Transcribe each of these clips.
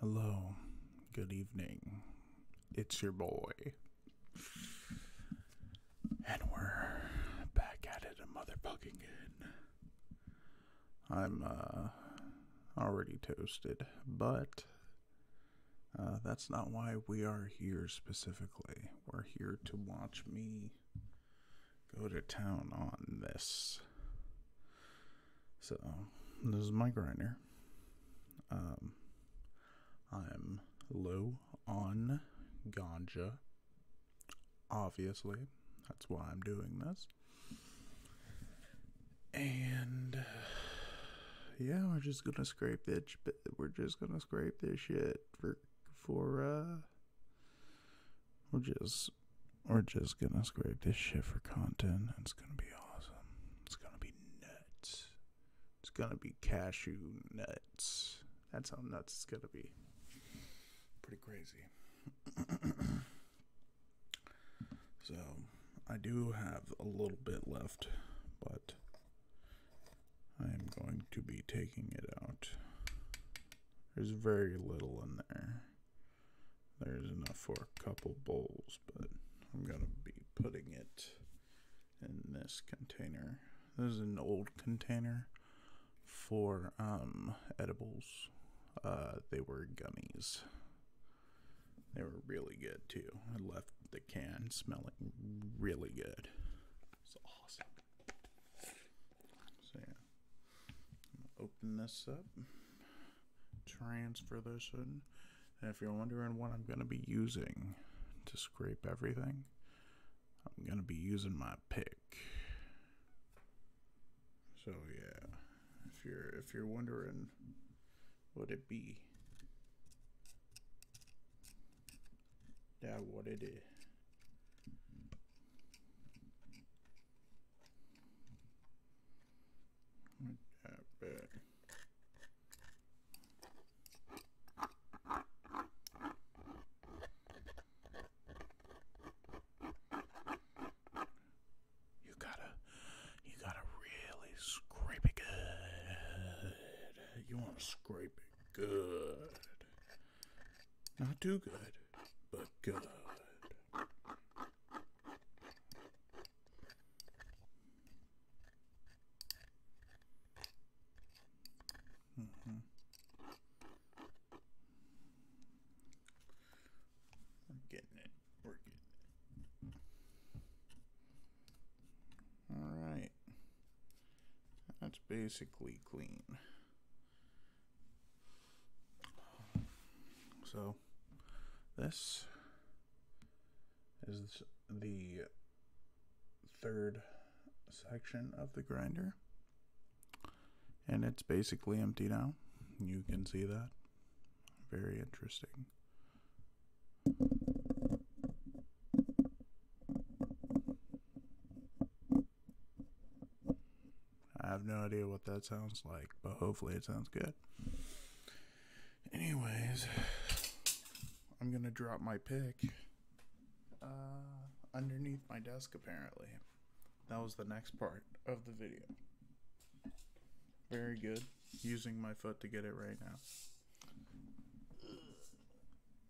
Hello, good evening. It's your boy. And we're back at it a motherfucking again. I'm uh, already toasted, but uh, that's not why we are here specifically. We're here to watch me go to town on this. So, this is my grinder. Um, I'm low on ganja, obviously. That's why I'm doing this. And yeah, we're just gonna scrape it. We're just gonna scrape this shit for for uh we're just we're just gonna scrape this shit for content. It's gonna be awesome. It's gonna be nuts. It's gonna be cashew nuts. That's how nuts it's gonna be. Pretty crazy. so I do have a little bit left, but I'm going to be taking it out. There's very little in there. There's enough for a couple bowls, but I'm going to be putting it in this container. This is an old container for um, edibles. Uh, they were gummies. They were really good too. I left the can smelling really good. It's awesome. So yeah, open this up, transfer this in, and if you're wondering what I'm gonna be using to scrape everything, I'm gonna be using my pick. So yeah, if you're if you're wondering, what it be? That er what it is. er det. You gotta, you gotta really scrape it good. You want to scrape Good. Not too good, but good. Mm-hmm. We're getting it. We're getting it. All right. That's basically clean. So this is the third section of the grinder and it's basically empty now. You can see that. Very interesting. I have no idea what that sounds like, but hopefully it sounds good. Anyways, I'm gonna drop my pick uh, underneath my desk, apparently. That was the next part of the video. Very good. Using my foot to get it right now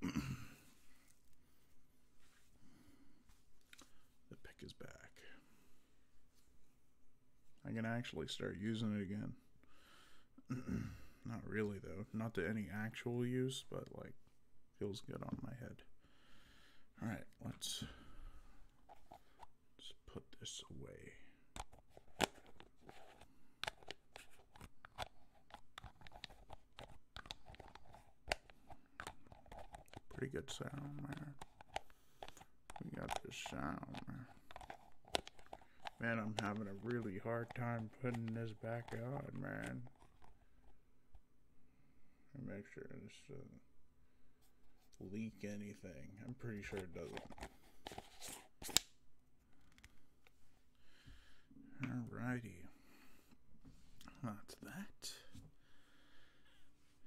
the pick is back. I can actually start using it again. Not really, though. Not to any actual use, but like, feels good on my head. Alright, let's, let's put this away. Pretty good sound there. We got this sound. Man. I'm having a really hard time putting this back on, man. make sure it doesn't leak anything. I'm pretty sure it doesn't. Alrighty. not that.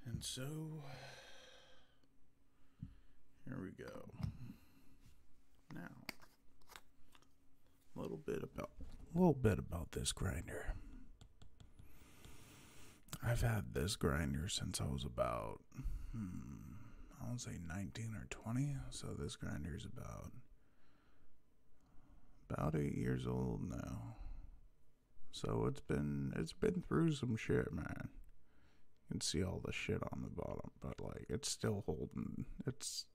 And so, here we go. Now, a little bit about a little bit about this grinder. I've had this grinder since I was about hmm, I would say 19 or 20. So this grinder is about about eight years old now. So it's been it's been through some shit, man. You can see all the shit on the bottom, but like it's still holding. It's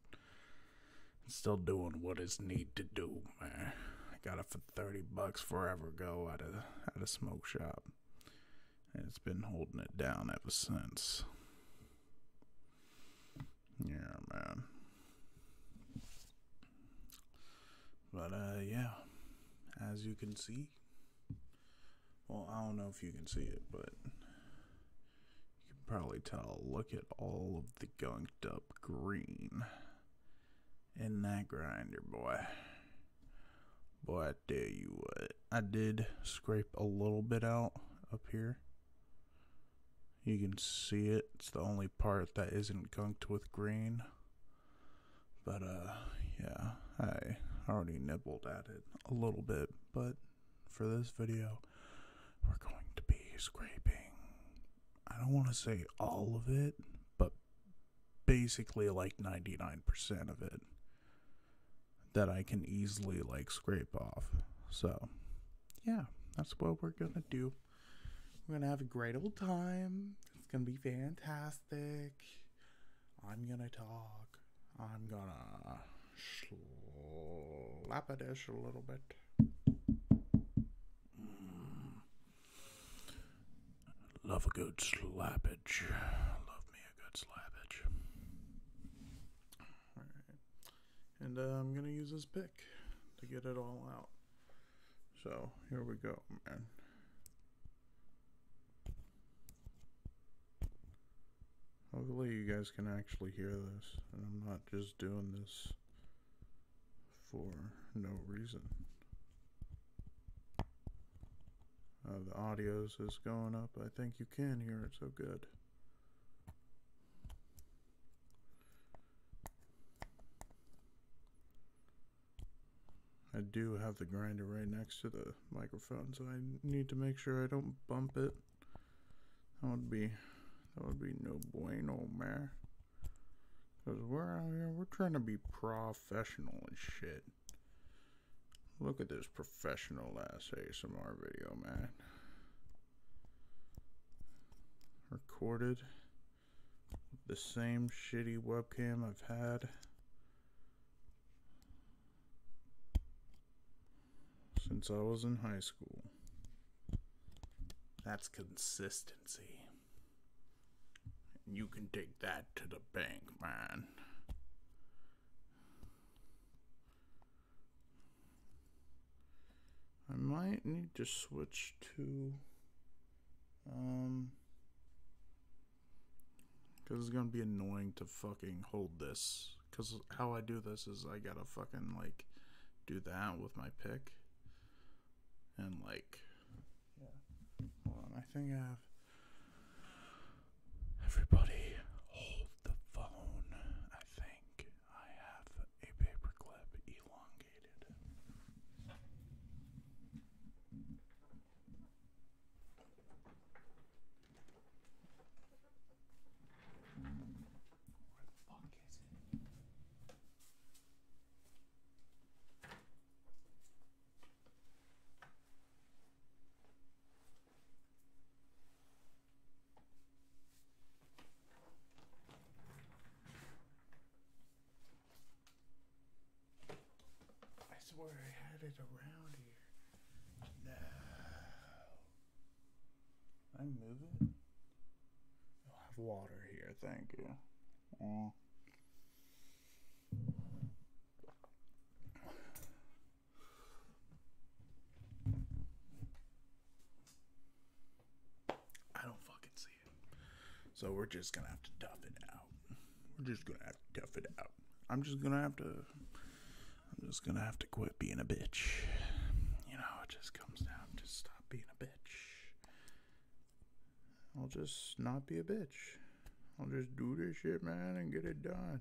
it's still doing what it's need to do, man. I got it for thirty bucks forever ago at a at a smoke shop, and it's been holding it down ever since. Yeah, man. But uh, yeah, as you can see, well, I don't know if you can see it, but you can probably tell. Look at all of the gunked up green in that grinder, boy. Boy, I tell you what, I did scrape a little bit out up here. You can see it. It's the only part that isn't gunked with green. But uh yeah, I already nibbled at it a little bit, but for this video, we're going to be scraping I don't want to say all of it, but basically like 99% of it that I can easily like scrape off. So, yeah, that's what we're gonna do. We're gonna have a great old time. It's gonna be fantastic. I'm gonna talk. I'm gonna slap a dish a little bit. Love a good slappage. Love me a good slappage. All right. And uh, I'm going to use this pick to get it all out. So here we go, man. Hopefully you guys can actually hear this and I'm not just doing this for no reason. Uh, the audios is going up. I think you can hear it so good. I do have the grinder right next to the microphone, so I need to make sure I don't bump it. That would be that would be no bueno, man. Cause we're out here, we're trying to be professional and shit. Look at this professional ass ASMR video, man. Recorded the same shitty webcam I've had since I was in high school. That's consistency. and You can take that to the bank, man. I might need to switch to um because it's gonna be annoying to fucking hold this because how I do this is I gotta fucking like do that with my pick and like yeah hold on I think I have Everybody, hold the phone. I think I have a paperclip elongated. Where the fuck is it? I swear I had it around here. No. I move it. I'll have water here, thank you. Mm. I don't fucking see it. So we're just gonna have to tough it out. We're just gonna have to tough it out. I'm just gonna have to. I'm just gonna have to quit being a bitch. You know, it just comes down. Just stop being a bitch. I'll just not be a bitch. I'll just do this shit, man, and get it done.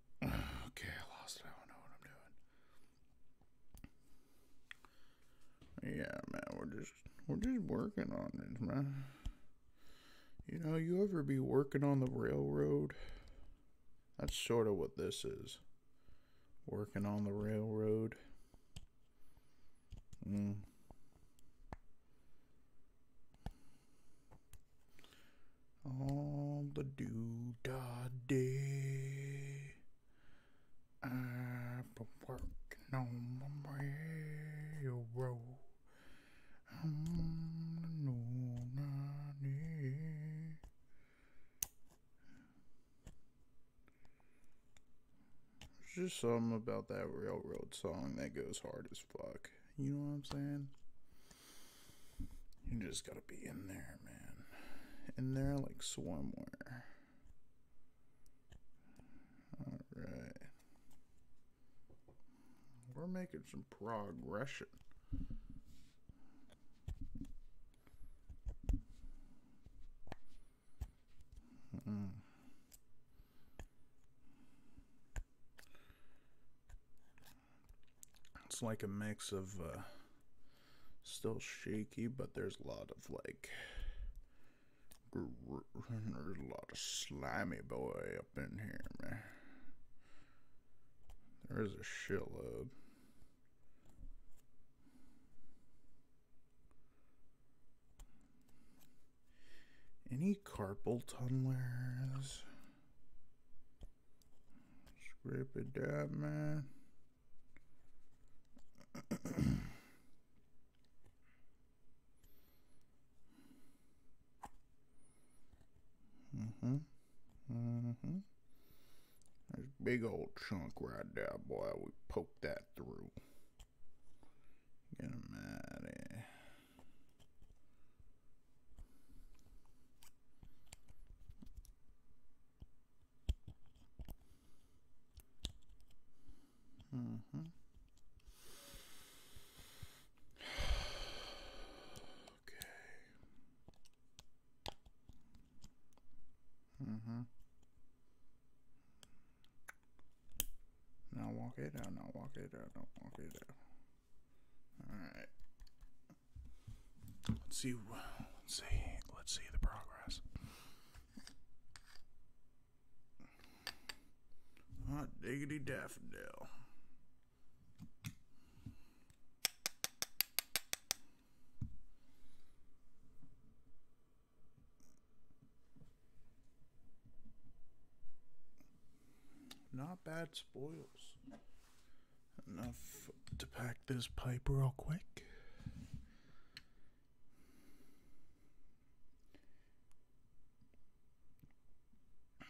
Okay, I lost it. I don't know what I'm doing. Yeah, man, we're just we're just working on it, man. You know, you ever be working on the railroad? That's sort of what this is. Working on the railroad. Mm. All the do da day. I've been working on my railroad. I'm no nanny. There's just something about that railroad song that goes hard as fuck. You know what I'm saying? You just gotta be in there, man. In there like swarmware. Alright. We're making some progression. Hmm. It's like a mix of uh, still shaky, but there's a lot of like there's a lot of slimy boy up in here, man. There's a shitload. Any carpel tunnelers? Scrape it up, man. mm-hmm. hmm There's big old chunk right there, boy. We poked that through. Get him out of here. Mm-hmm. okay. Mm-hmm. Now walk it out, now walk it out, now walk it out. All right. Let's see. Let's see. Let's see the progress. Hot diggity daffodil. Not bad spoils. Enough to pack this pipe real quick.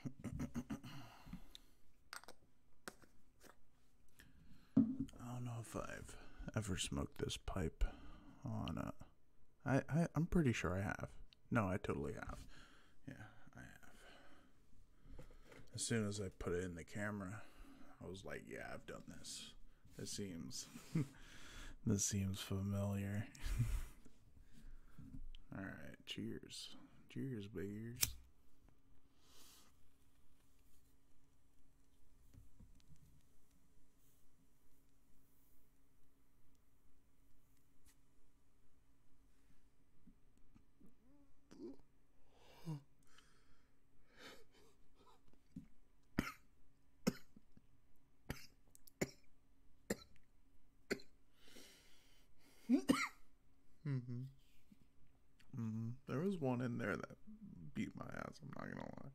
I don't know if I've ever smoked this pipe on a. I, I I'm pretty sure I have. No, I totally have. Yeah, I have. As soon as I put it in the camera, I was like, yeah, I've done this. It seems this seems familiar. All right, cheers. Cheers, big Mm-hmm. Mm-hmm. There was one in there that beat my ass. I'm not gonna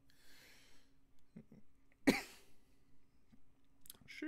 lie. she.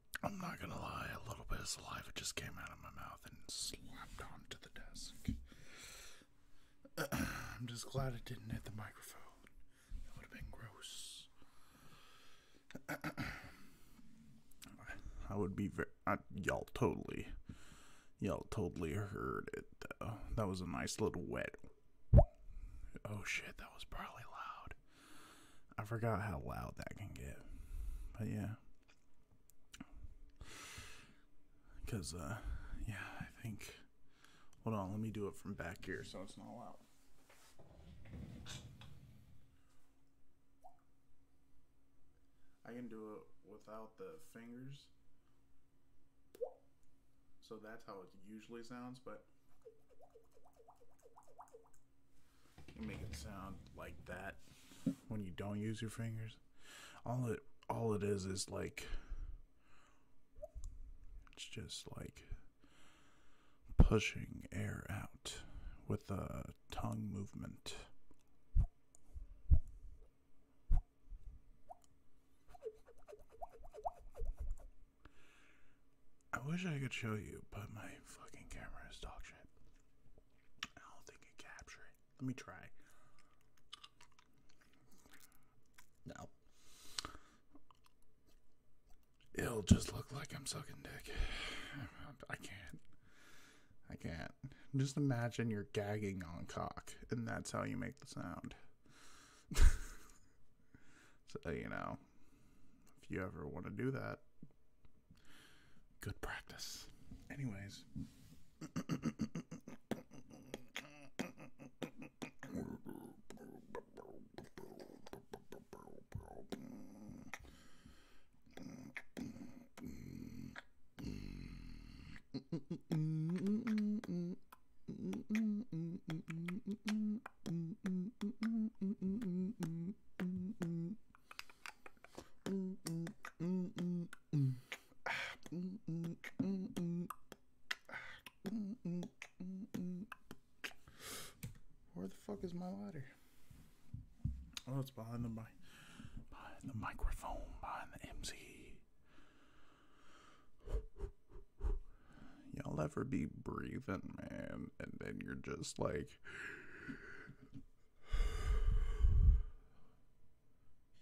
I'm not gonna lie, a little bit of saliva just came out of my mouth and slapped onto the desk. I'm just glad it didn't hit the microphone. That would have been gross. I would be very. y'all totally. Y'all totally heard it though. That was a nice little wet. Oh shit, that was probably loud. I forgot how loud that can get. But yeah. Because, uh, yeah, I think. Hold on, let me do it from back here so it's not loud. I can do it without the fingers. So that's how it usually sounds, but you make it sound like that when you don't use your fingers. All it all it is is like it's just like pushing air out with the tongue movement. I wish I could show you, but my fucking camera is dog shit. I don't think it captured it. Let me try. No. It'll just look like I'm sucking dick. I can't. I can't. Just imagine you're gagging on cock, and that's how you make the sound. so, you know, if you ever want to do that, good practice. Anyways. Where the fuck is my lighter? Oh, it's behind the mic, behind the microphone, behind the MC. Y'all ever be breathing, man? and then you're just like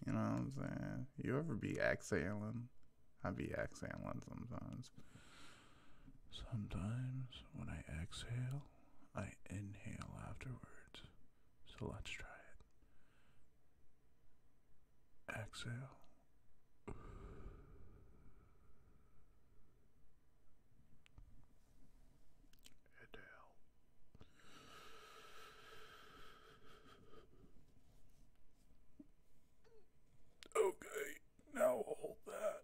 you know i'm saying you ever be exhaling i be exhaling sometimes sometimes when i exhale i inhale afterwards so let's try it exhale Okay, now hold that.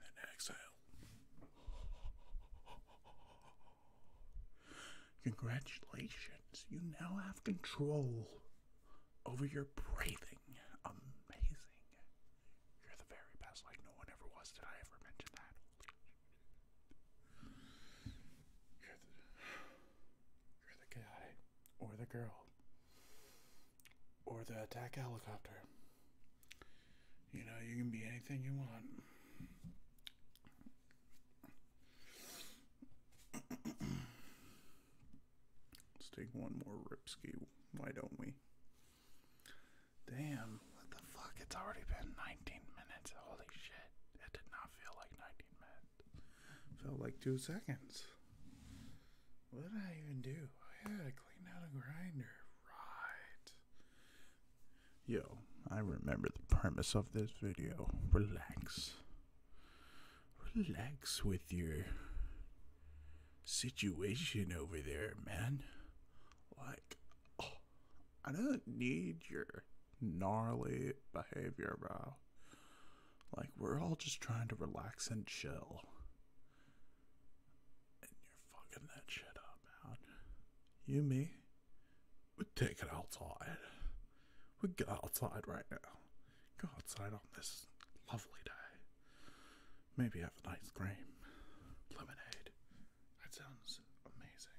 And then exhale. Congratulations, you now have control over your breathing. Amazing. You're the very best, like no one ever was. Did I ever mention that? You're the guy, or the girl, or the attack helicopter. You know, you can be anything you want. Let's take one more ripski. Why don't we? Damn, what the fuck? It's already been 19 minutes. Holy shit. It did not feel like 19 minutes. Felt like two seconds. What did I even do? I had to clean out a grinder. Right. Yo, I remember the premise of this video. Relax. Relax with your situation over there, man. Like, oh, I don't need your gnarly behavior, bro. Like, we're all just trying to relax and chill. And you're fucking that shit up, man. You, me, we take it outside. We go outside right now. Go outside on this lovely day. Maybe have an ice cream, lemonade. That sounds amazing.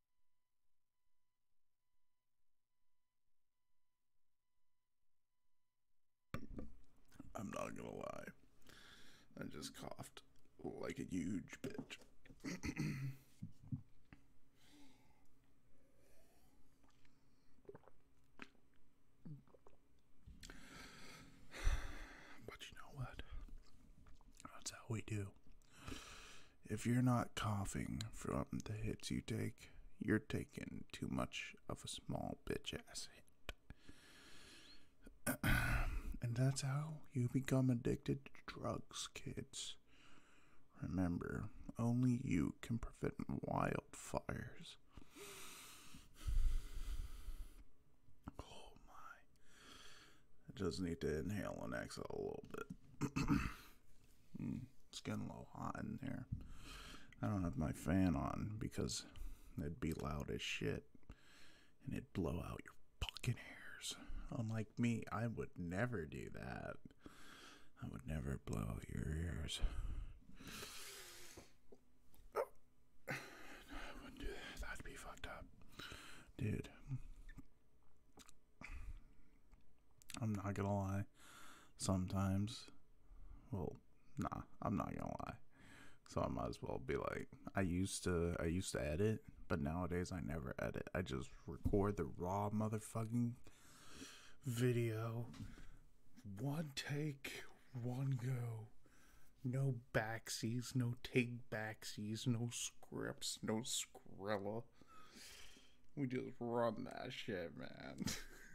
I'm not gonna lie. I just coughed like a huge bitch. but you know what? That's how we do. If you're not coughing from the hits you take, you're taking too much of a small bitch ass hit. and that's how you become addicted to drugs, kids. Remember, only you can prevent wildfires. Oh my. I just need to inhale and exhale a little bit. it's getting a little hot in here. I don't have my fan on because it'd be loud as shit and it'd blow out your fucking ears. Unlike me, I would never do that. I would never blow out your ears. I wouldn't do that. That'd be fucked up. Dude, I'm not gonna lie. Sometimes, well, nah, I'm not gonna lie. So I might as well be like, I used to, I used to edit, but nowadays I never edit. I just record the raw motherfucking video, one take, one go. No backsies, no take backsies, no scripts, no scripts gorilla. We just run that shit, man.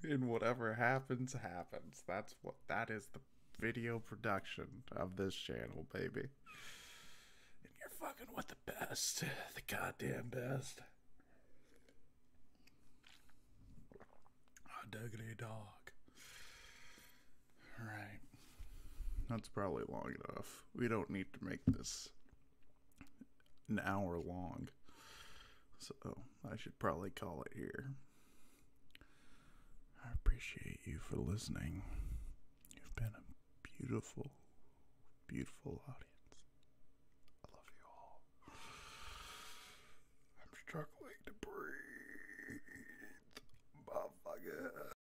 and whatever happens, happens. That's what that is the video production of this channel, baby. And you're fucking with the best, the goddamn best. Diggity dog. All right. That's probably long enough. We don't need to make this an hour long. So I should probably call it here. I appreciate you for listening. You've been a beautiful, beautiful audience. I love you all. I'm struggling to breathe. Motherfucker.